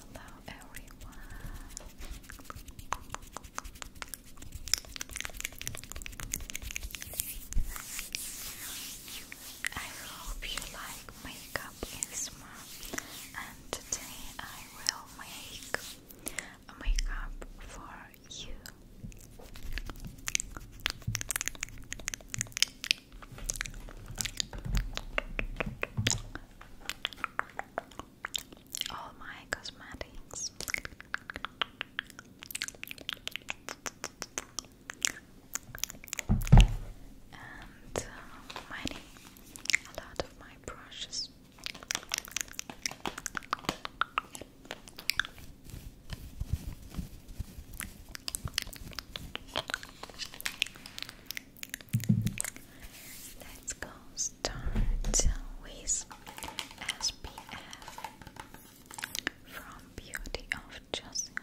Hello, everyone. I hope you like makeup ASMR and today I will make makeup for you all my cosmetics. And uh, a lot of my brushes. Let's go start with SPF from Beauty of Jocelyn.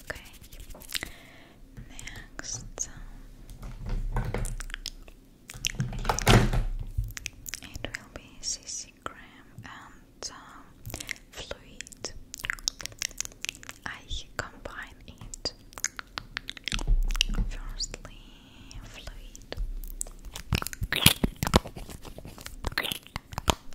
Okay. Next, it will be CC cream and fluid. I combine it. Firstly, fluid.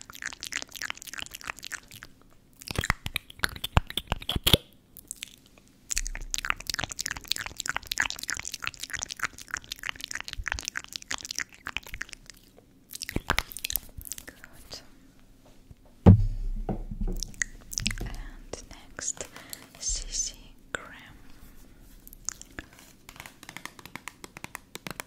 Good. And next, CC Graham.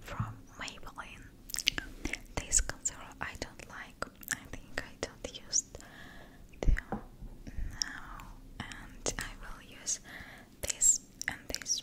From Maybelline. This concealer I don't like. I think I don't use them now, and I will use this and this.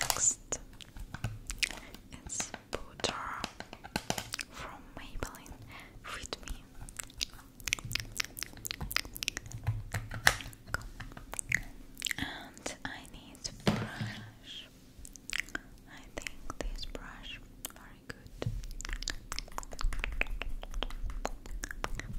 Next, it's Butter from Maybelline. Read me. And I need brush. I think this brush very good. Okay,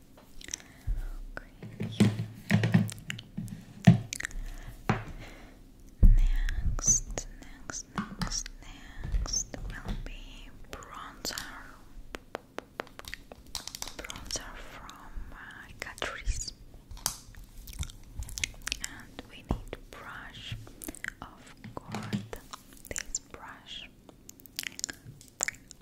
Okay. Next, next, next, next will be bronzer. Bronzer from Catrice. And we need brush, of course, this brush.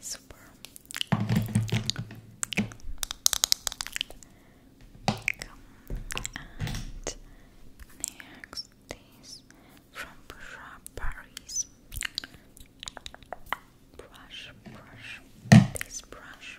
Super. And next is from Bourgeois Paris. Brush, brush, this brush.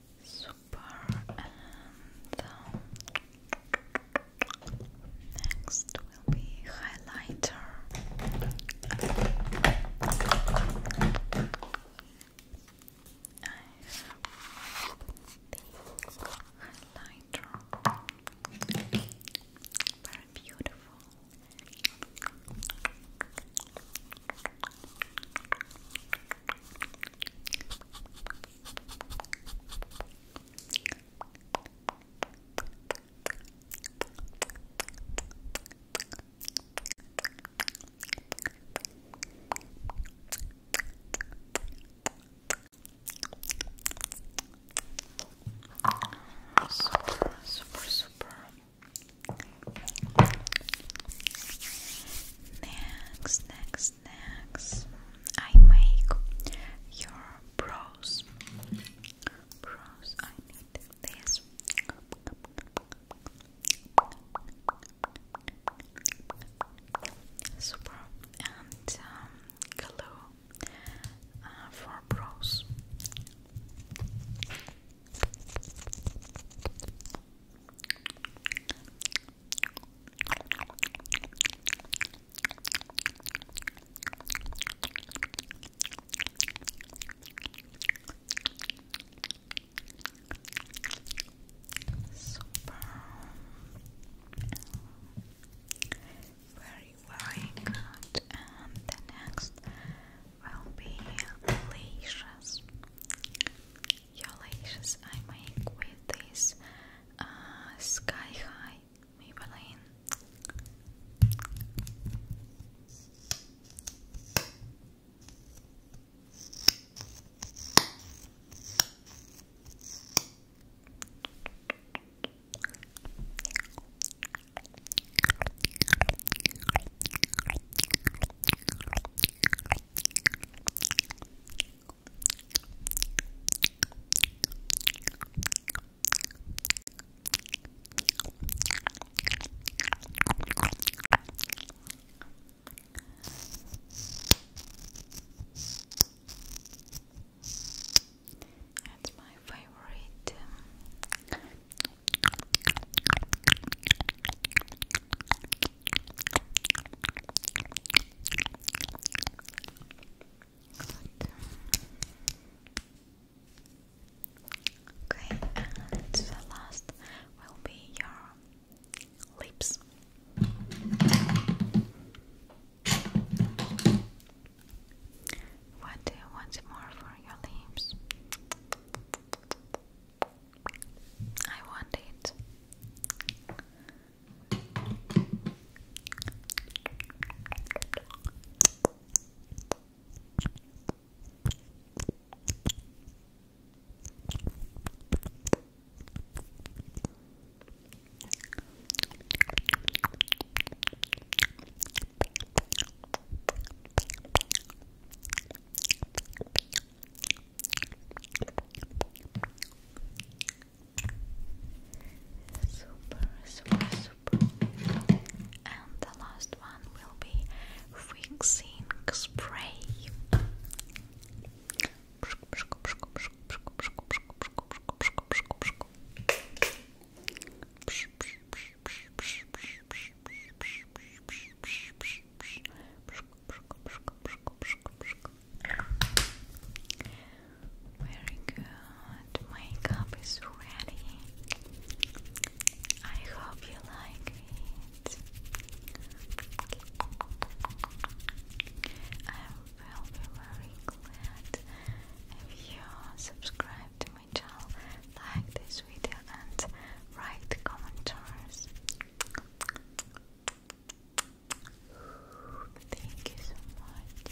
Super. And um, next will be highlighter. highlighter. Very beautiful. Super, super, super Next, next, next, I make your brows. Brows, I need this. Super and um, glue uh, for brows. Super. Very, very good. And the next will be lashes. Your lashes I make with this uh, Sky High Maybelline. That's my favorite Okay, and the last will be your lips. What do you want more for your lips? I want it. Super, super, super. And the last one will be fixing spray. Very good. Makeup is ready. I hope you like it. I will be very glad if you subscribe to like this video and write comments. Thank you so much.